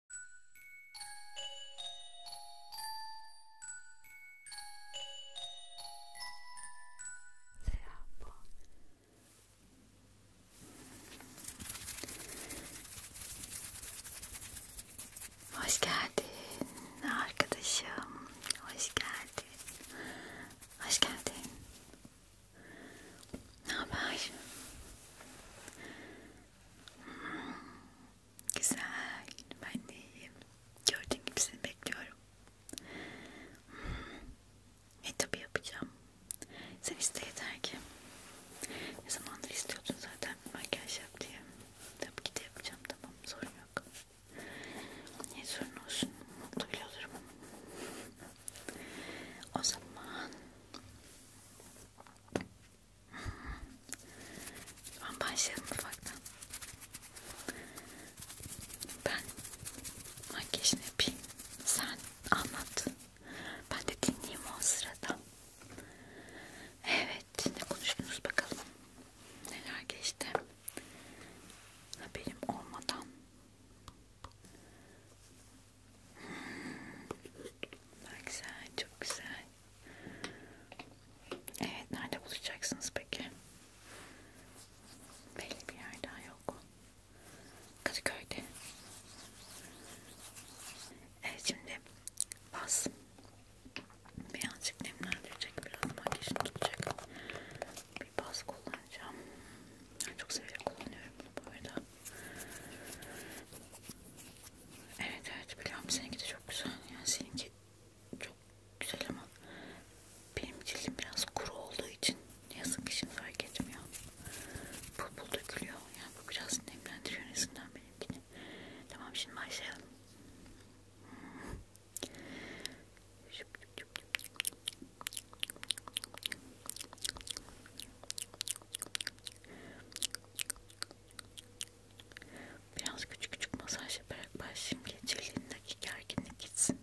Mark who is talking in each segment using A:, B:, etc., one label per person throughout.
A: Troppo. Hoş geldin arkadaşım. Hoş geldin. Hoş geldin. Ne haber? Güzel, ben de iyiyim. Gördüğün gibi seni bekliyorum. Ne hmm. tabi yapacağım. Sen iste yeter ki. Ne zamandır istiyordun zaten makyaj yap diye. Tabii ki de yapacağım tamam sorun yok. Ne sorun olsun mutlu bile olurum. O zaman ben başlayalım ufaktan. Ben makyajını yapayım. Sen anlat. Ben de dinleyeyim o sırada. Evet, ne konuştunuz bakalım. Neler geçti? Haberim olmadan. Bak güzel, çok güzel. Evet, nerede bulacaksınız peki? Belli bir yer daha yok. Kadıköy'de. Evet şimdi bas. Birazcık nemlendirecek, biraz makyajını tutacak. Bir bas kullanacağım. Ben çok severek kullanıyorum bunu bu arada. Evet evet biliyorum seninki de çok güzel. Yani seninki çok güzel ama benim cildim biraz kuru olduğu için yazık ki şimdi fark etmiyor. Pul pul dökülüyor. Yani bu biraz nemlendiriyor nezinden benimkini. Tamam şimdi başlayalım. Biraz küçük küçük masaj yaparak başlayayım ki cildindeki gerginlik gitsin.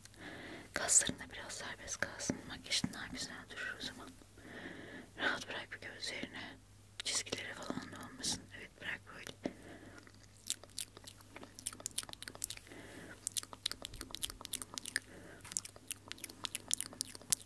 A: Kaslarında biraz serbest kalsın. Makyajın daha güzel durur o zaman. Rahat bırak bir gözlerine. Çizgileri falan da olmasın. Evet bırak böyle.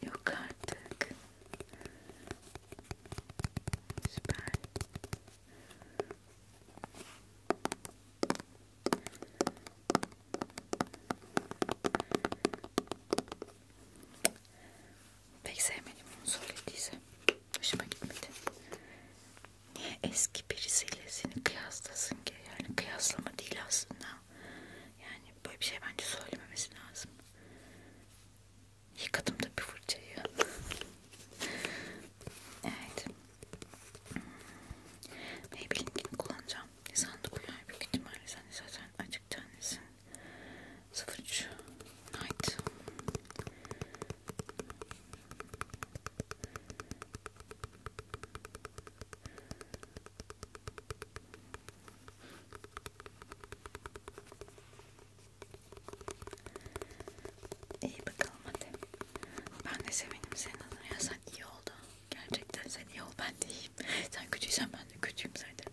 A: Your card deck is bad. Pek sevmedim onu söylediyse. Hoşuma gitmedi. Niye eski birisiyle seni kıyaslasın ki? Yani kıyaslama değil aslında. Yani böyle bir şey bence söylememesi lazım. Yıkadım da bir fırçayı. evet. Ne bileyim kim kullanacağım. Sandık uyar büyük ihtimalle. Sen zaten birazcık tanesin. 03 Night. İyi bakalım hadi. Ben de sevinim senin adına ya sen iyi oldu. Gerçekten sen iyi ol ben de iyi. Sen kötüysen ben de kötüyüm zaten.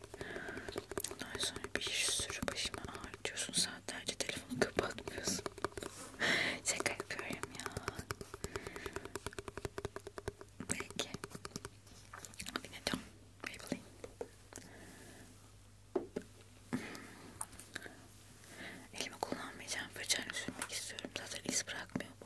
A: Ondan sonra bir sürü başıma ağrıtıyorsun. Saatlerce telefonu kapatmıyorsun. Şaka yapıyorum ya. Peki. Dinleyeceğim. Maybelline. Elimi kullanmayacağım. Fırçayla sürmek istiyorum. Zaten iz bırakmıyor bu.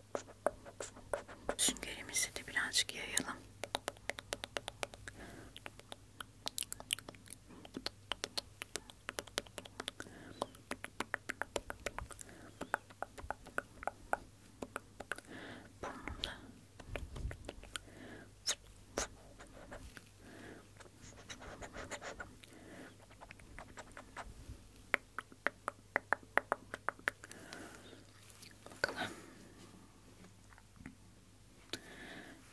A: Süngerimizi de birazcık yayalım. Burnumda. Bakalım.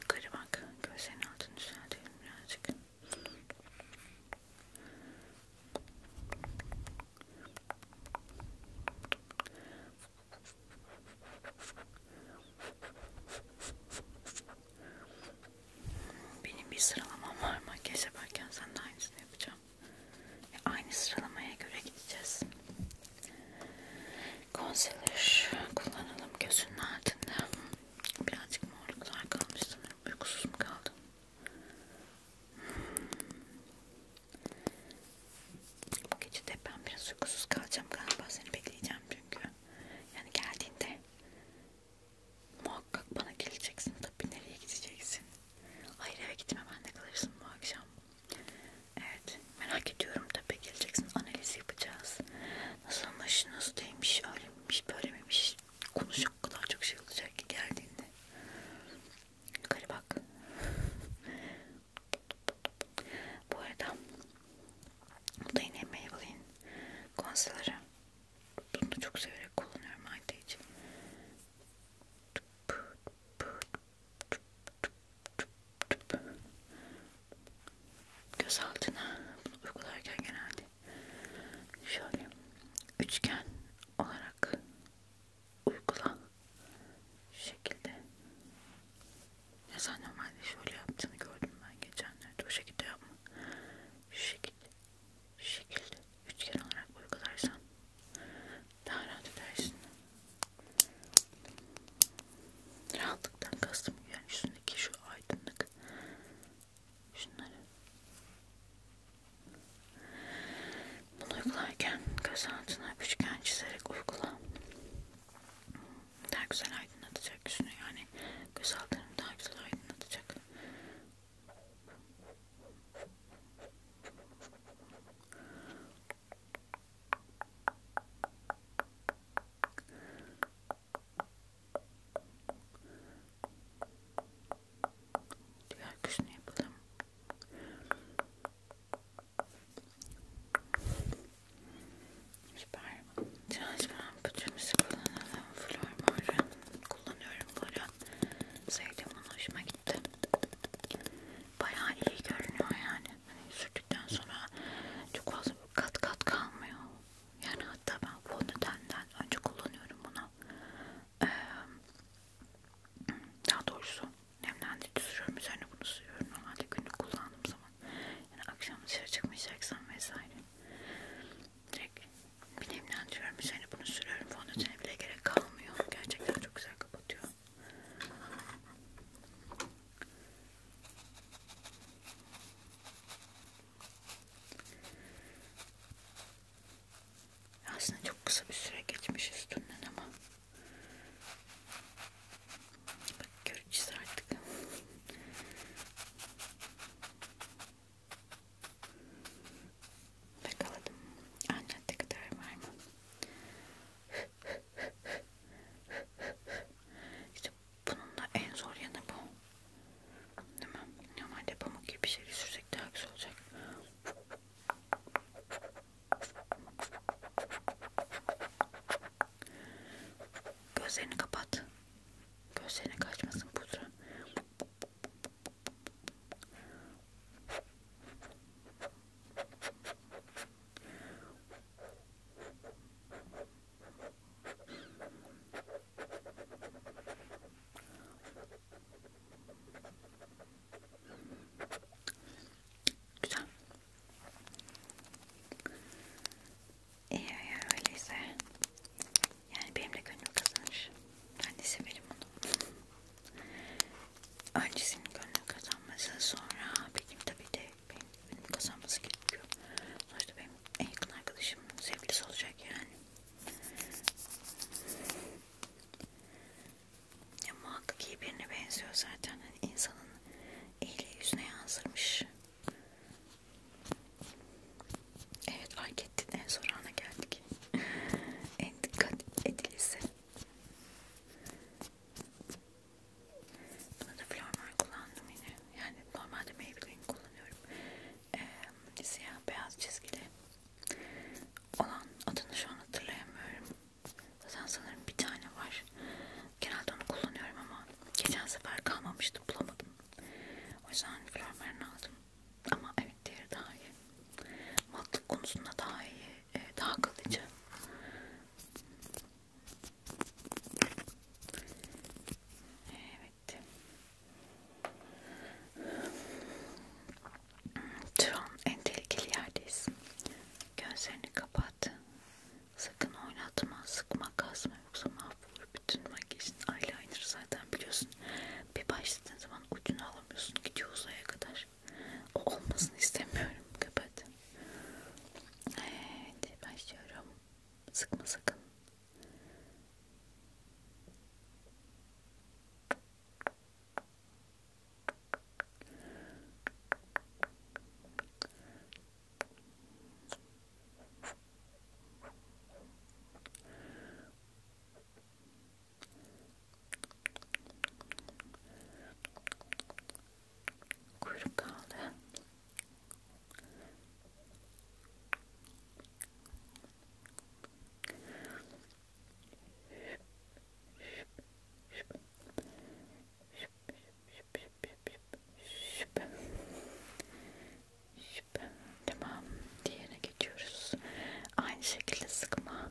A: Yukarı bak. Gözlerin altını düzeltelim birazcık. Benim bir sıralamam var makyaj yaparken sen de aynısını yapacağım. Ve aynı sıralamaya göre gideceğiz. Konseler kullanalım gözünün altında. Birazcık morluklar kalmış sanırım. Uykusuz mu kaldım? Hmm. Bu gece de ben biraz uykusuz kalacağım galiba. Seni bekleyeceğim çünkü. Yani geldiğinde muhakkak bana geleceksin Tabii nereye gideceksin? Hayır eve gitme ben de kalırsın bu akşam. Evet merak ediyorum tabii geleceksin analiz yapacağız. Nasılmış, nasıl değilmiş, öyle miymiş, böyle miymiş? Konuşacak o kadar çok şey olacak ki geldiğinde. Yukarı bak. bu arada bu da yine Maybelline konserleri. Bunu da çok severek kullanıyorum ayda için. Göz altına bunu uygularken genelde şöyle üçgen olarak uygula şu şekilde. Ya sen normalde şöyle yaptığını gördüm ben geçenlerde. O şekilde yapma. Şu şekilde. Şu şekilde üçgen olarak uygularsan daha rahat edersin. Rahatlıktan kastım yani üstündeki şu aydınlık şunları bunu uygularken göz altına üçgen çizerek uygula daha güzel aydınlatacak yüzünü yani göz altını daha güzel aydınlatacak Diğer kışını yapalım. Süper. Transparent bütçemizi kullanalım. Flor var. Kullanıyorum bunu görünce sevdim onu hoşuma gitti. Bayağı iyi görünüyor yani. Hani sürdükten sonra çok fazla kat kat kalmıyor. Yani hatta ben fondötenden önce kullanıyorum bunu. Ee, daha doğrusu nemlendirici sürüyorum üzerine bunu sürüyorum normalde günlük kullandığım zaman yani akşam dışarı çıkmayacaksam vesaire direkt bir nemlendiriyorum üzerine bunu sürüyorum fondötene bile gerek kalmıyor olmuyor. Gerçekten çok güzel kapatıyor. Aslında çok kısa bir süre geçmiş üstünden ama bak göreceğiz artık. Yakaladım. Anlattı kadar var mı? işte bunun da en zor yanı bu. Değil mi? Normalde pamuk gibi bir şey sürsek daha güzel olacak. Gözlerini kapat. Gözlerine kaçmasın pudra. Güzel. İyi eğer öyleyse yani benim de gönlüm kazanır. Ben de severim onu. Öncesinin gönlünü kazanması sonra benim tabii de benim gönlümü kazanması gerekiyor. Sonuçta benim en yakın arkadaşım sevgilisi olacak yani. Ya muhakkak iyi birine benziyor zaten. Hani insanın eli yüzüne yansırmış. Evet fark ettin en son ana geldik. en dikkat edilisi. Buna da flormar kullandım yine. Yani normalde Maybelline kullanıyorum. Ee, siyah beyaz çizgili olan adını şu an hatırlayamıyorum. Zaten sanırım bir tane var. Genelde onu kullanıyorum ama geçen sefer kalmamıştı bulamadım. O yüzden flormarını aldım. Ama evet diğeri daha iyi. Matlık konusunda daha iyi, e, daha kalıcı. Evet. Şu an en tehlikeli yerdeyiz. Gözlerini kapat. Sakın oynatma, sıkma, kasma yoksa mahvolur. Bütün makyajın eyeliner zaten biliyorsun. Bir başladığın zaman ucunu alamıyorsun. Gidiyor uzaya kadar. O olmasını istemiyorum. Kapat. Evet başlıyorum. Sıkma sakın. Kuyruk kaldı. Tamam, diğerine geçiyoruz. Aynı şekilde sıkma.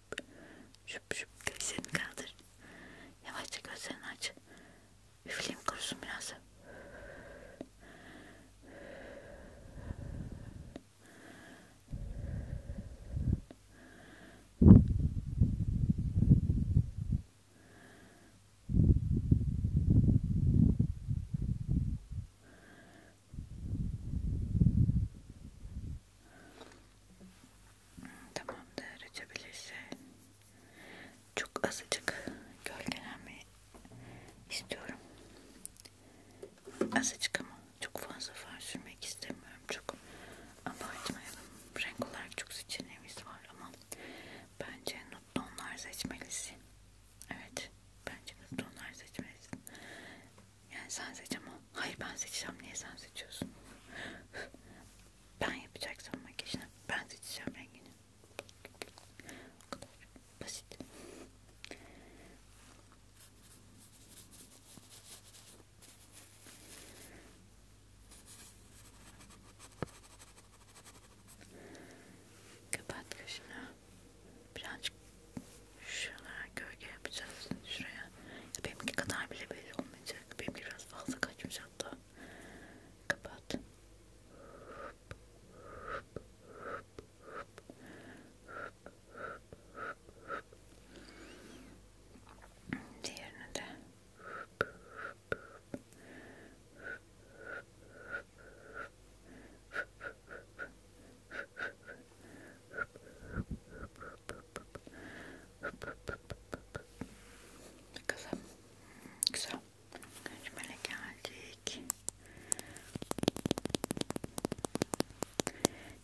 A: şup şup şup gözlerini kaldır yavaşça gözlerini aç üfleyeyim kurusun biraz Tamamdır açabilirse çok azıcık gölgelenme istiyorum. Azıcık ama çok fazla far sürmek istemiyorum. Çok abartmayalım. Renk olarak çok seçeneğimiz var ama bence nut tonlar seçmelisin. Evet. Bence nut tonlar seçmelisin. Yani sen seç ama hayır ben seçeceğim niye sen seçiyorsun? ben yapacaksam makyajını ben seçeceğim rengini. O kadar basit. Kapat kaşını. Birazcık Şuralara gölge yapacağız şuraya. Benimki kadar bile belli olmayacak. Benimki biraz fazla kaçmış hatta. Kapat. Diğerini de Kızım güzel. Kaçmaya geldik.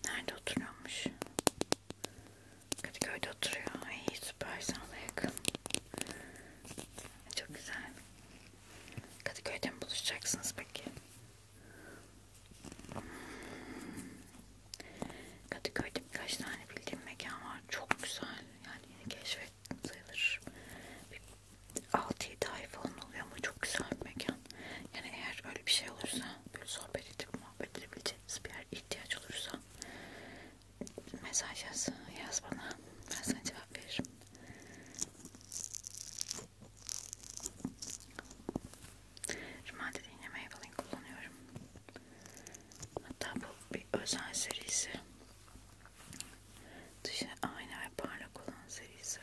A: Nerede oturuyormuş? Kadıköy'de oturuyor. Ay süper sana yakın. Çok güzel. Kadıköy'de mi buluşacaksınız peki? Kadıköy'de birkaç tane bildiğim mekan var. Çok güzel. Yani yeni keşfettim sayılır. 6-7 ay falan oluyor ama çok güzel bir mekan. Yani eğer öyle bir şey olursa böyle sohbet edip muhabbet edebileceğiniz bir yer ihtiyaç olursa mesaj yaz, yaz bana. Ben sana cevap veririm. Rümelde de yine Maybelline kullanıyorum. Hatta bu bir özel serisi. Dışı aynı ve parlak olan serisi.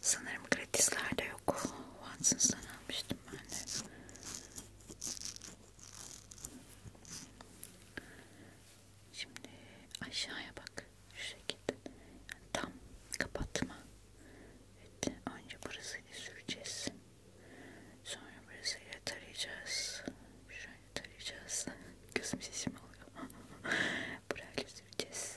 A: Sanırım gratislerde yok. Watsons'dan almıştım ben de. Şimdi aşağıya bak. Şu şekilde. Yani tam kapatma. Evet, önce burasıyla süreceğiz. Sonra burasıyla tarayacağız. Şöyle tarayacağız. Gözüm sesim oluyor. burayla süreceğiz.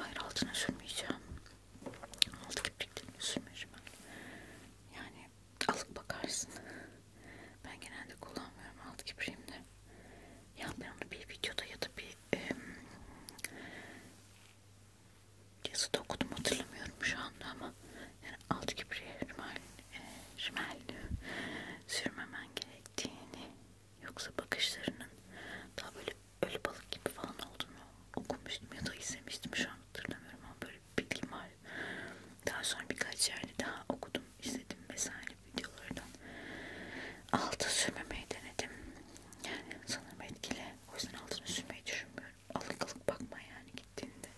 A: Hayır altına sürmeyeceğim. Altı kirpiklerini sürmeyeceğim ben. Yani alıp bakarsın. Ben genelde kullanmıyorum alt kipremde. Ya ben onu bir videoda ya da bir e, yazıda okudum hatırlamıyorum şu anda ama yani alt kipriye rimel, e, rimel sürmemen gerektiğini yoksa bakışlarının daha böyle ölü balık gibi falan olduğunu okumuştum ya da izlemiştim şu an hatırlamıyorum ama böyle bilgim var. Daha sonra birkaç yerde daha okudum, izledim vesaire videolardan. Altı sürmemeyi denedim. Yani sanırım etkili. O yüzden altını sürmeyi düşünmüyorum. Alık alık bakma yani gittiğinde.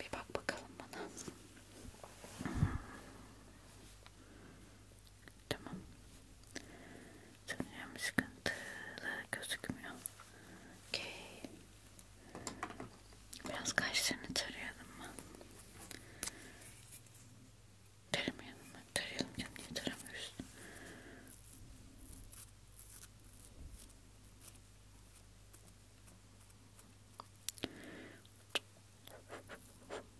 A: Bir bak bakalım bana. Tamam. Sanırım sıkıntılı gözükmüyor. Okay. Biraz kaşlarını tarayalım mı? Taramayalım mı? Tarayalım canım. Niye taramıyoruz?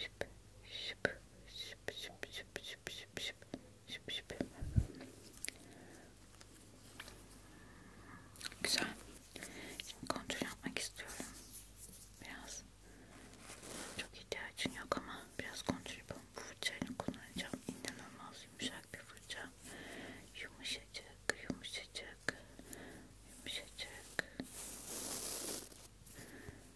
A: şıp şıp şıp şıp şıp şıp şıp şıp şıp şıp Güzel. Şimdi kontrol yapmak istiyorum. Biraz çok ihtiyacın yok ama biraz kontrol yapalım. Bu fırçayla kullanacağım. İnanılmaz yumuşak bir fırça. Yumuşacık, yumuşacık, yumuşacık.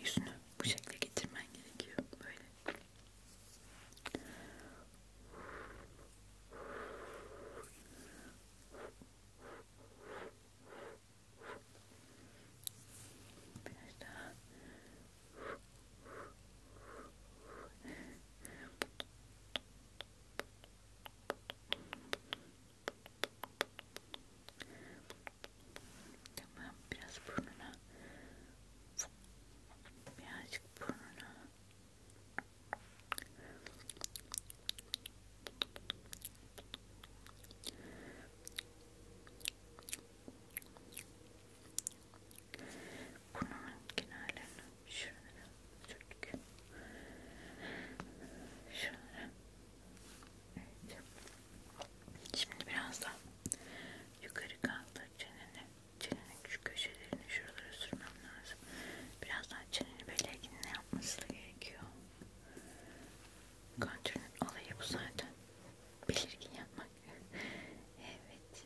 A: Yüzünü bu şekilde getirmen gerekiyor. Böyle. Biraz daha. Tamam biraz burnuna. Birazcık burnuna. Burnunun kenarlarını şunlara sürdük. Şunlara. Evet. Şimdi biraz da Yukarı kaldır çeneni. Çenenin şu köşelerini şuralara sürmem lazım. Birazdan çeneni böyle ne yapması gerekiyor. Kontürün olayı bu zaten. Belirgin yapmak. evet.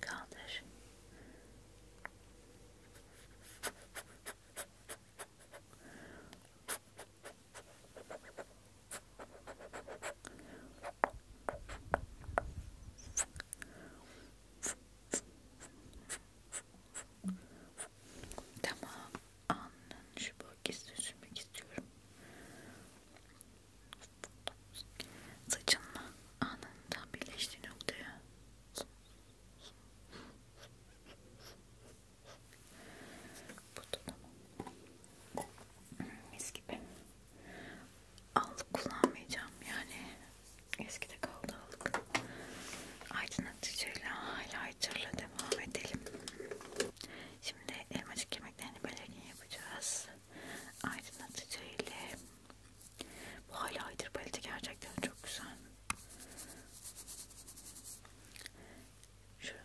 A: Kaldır. Tamam, alnın şu bölgesini sürmek istiyorum. Saçınla alnının tam birleştiği noktaya. Bu da tamam. Hmm, mis gibi. Allık kullanmayacağım yani. Eskide kaldı allık. Aydınlatıcıyla highlighterla devam edelim. Şimdi elmacık yemeklerini belirgin yapacağız. Aydınlatıcı ile bu highlighter paleti gerçekten çok güzel. Şöyle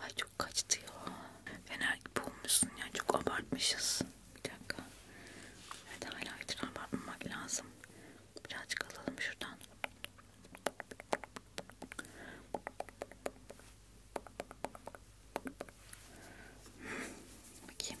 A: Ay çok kaçtı ya. Fener gibi olmuşsun ya. Çok abartmışız. Bir dakika. Evet highlighter abartmamak lazım. Birazcık alalım şuradan. Bakayım.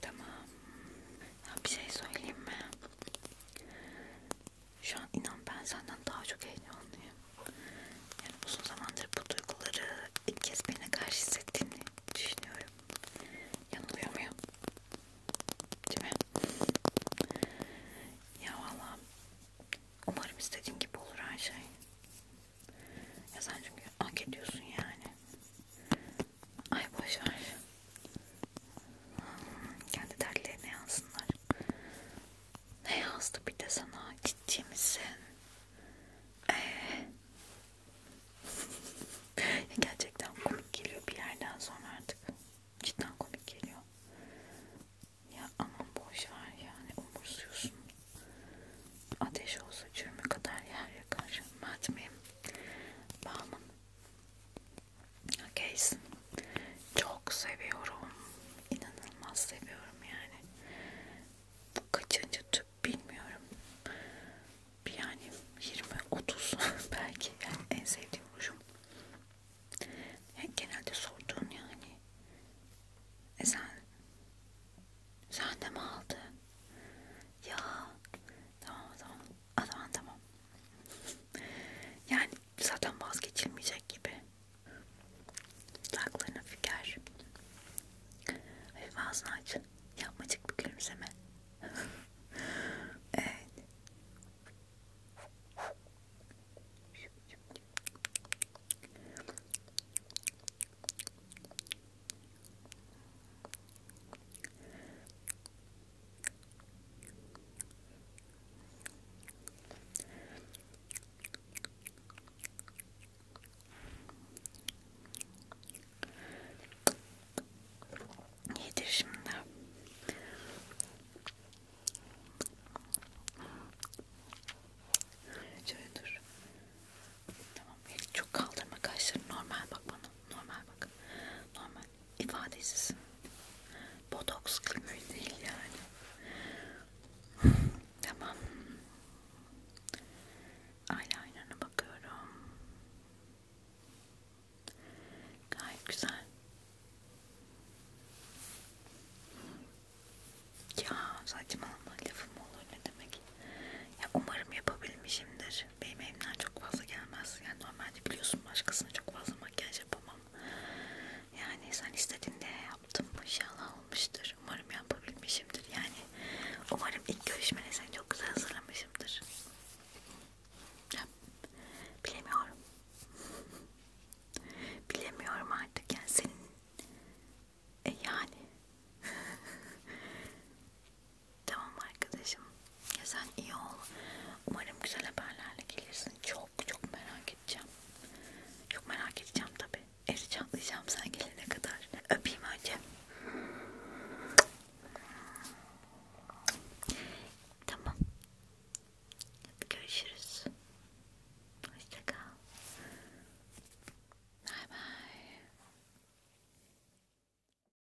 A: Tamam. Ya bir şey söyleyeyim mi? Şu an inan ben senden daha çok heyecanlıyım. Yani uzun zamandır bu duyguları ilk kez birine karşı hissettiğini düşünüyorum. Yanılıyor muyum? Değil mi? Ya valla umarım istediğim gibi olur her şey. Ya sen çünkü hak ediyorsun yani. Ay boşver. Hmm, kendi dertlerine yansınlar. Ne yazdı bir de sana? Ciddi misin? Ee? Gerçekten komik geliyor bir yerden sonra artık. Cidden komik geliyor. Ya aman boşver yani umursuyorsun. Ateş olsa çürme kadar yer yakar. Matmim. Bağımın Case çok seviyorum. İnanılmaz seviyorum yani. Bu kaçıncı tüp bilmiyorum. Yani 20-30 belki yani en sevdiğim rujum. Yani genelde sorduğun yani. E sen sen de mi aldın? Ya tamam tamam o zaman tamam. yani zaten vazgeçilmeyecek gibi. Dudaklarına füker. Hafif ağzını aç. Yapmacık bir gülümseme. evet. Yedir şimdi. Şöyle dur. Tamam. Çok kaldırma kaşlarını. Normal bak bana. Normal bak. Normal ifadesiz. Botoks klimi değil yani. tamam. Eyeliner'ına bakıyorum. Gayet güzel. Ya saçmalama lafım olur ne demek. Ya umarım yapabilmişimdir. Benim evimden çok fazla gelmez. Yani normalde biliyorsun başkasına çok fazla makyaj yapamam. Yani sen istediğinde yaptım. İnşallah olmuştur. Umarım yapabilmişimdir. Yani umarım ilk görüşmene seni çok güzel hazırlamışımdır. Ya, bilemiyorum. bilemiyorum artık. Yani senin e yani Tamam arkadaşım. Ya sen iyi ol. Umarım güzel haberlerle gelirsin. Çok çok merak edeceğim. Çok merak edeceğim tabi. Eri çatlayacağım sen gelene kadar. Öpeyim önce. Tamam. Hadi görüşürüz. Hoşça kal. Bye bye.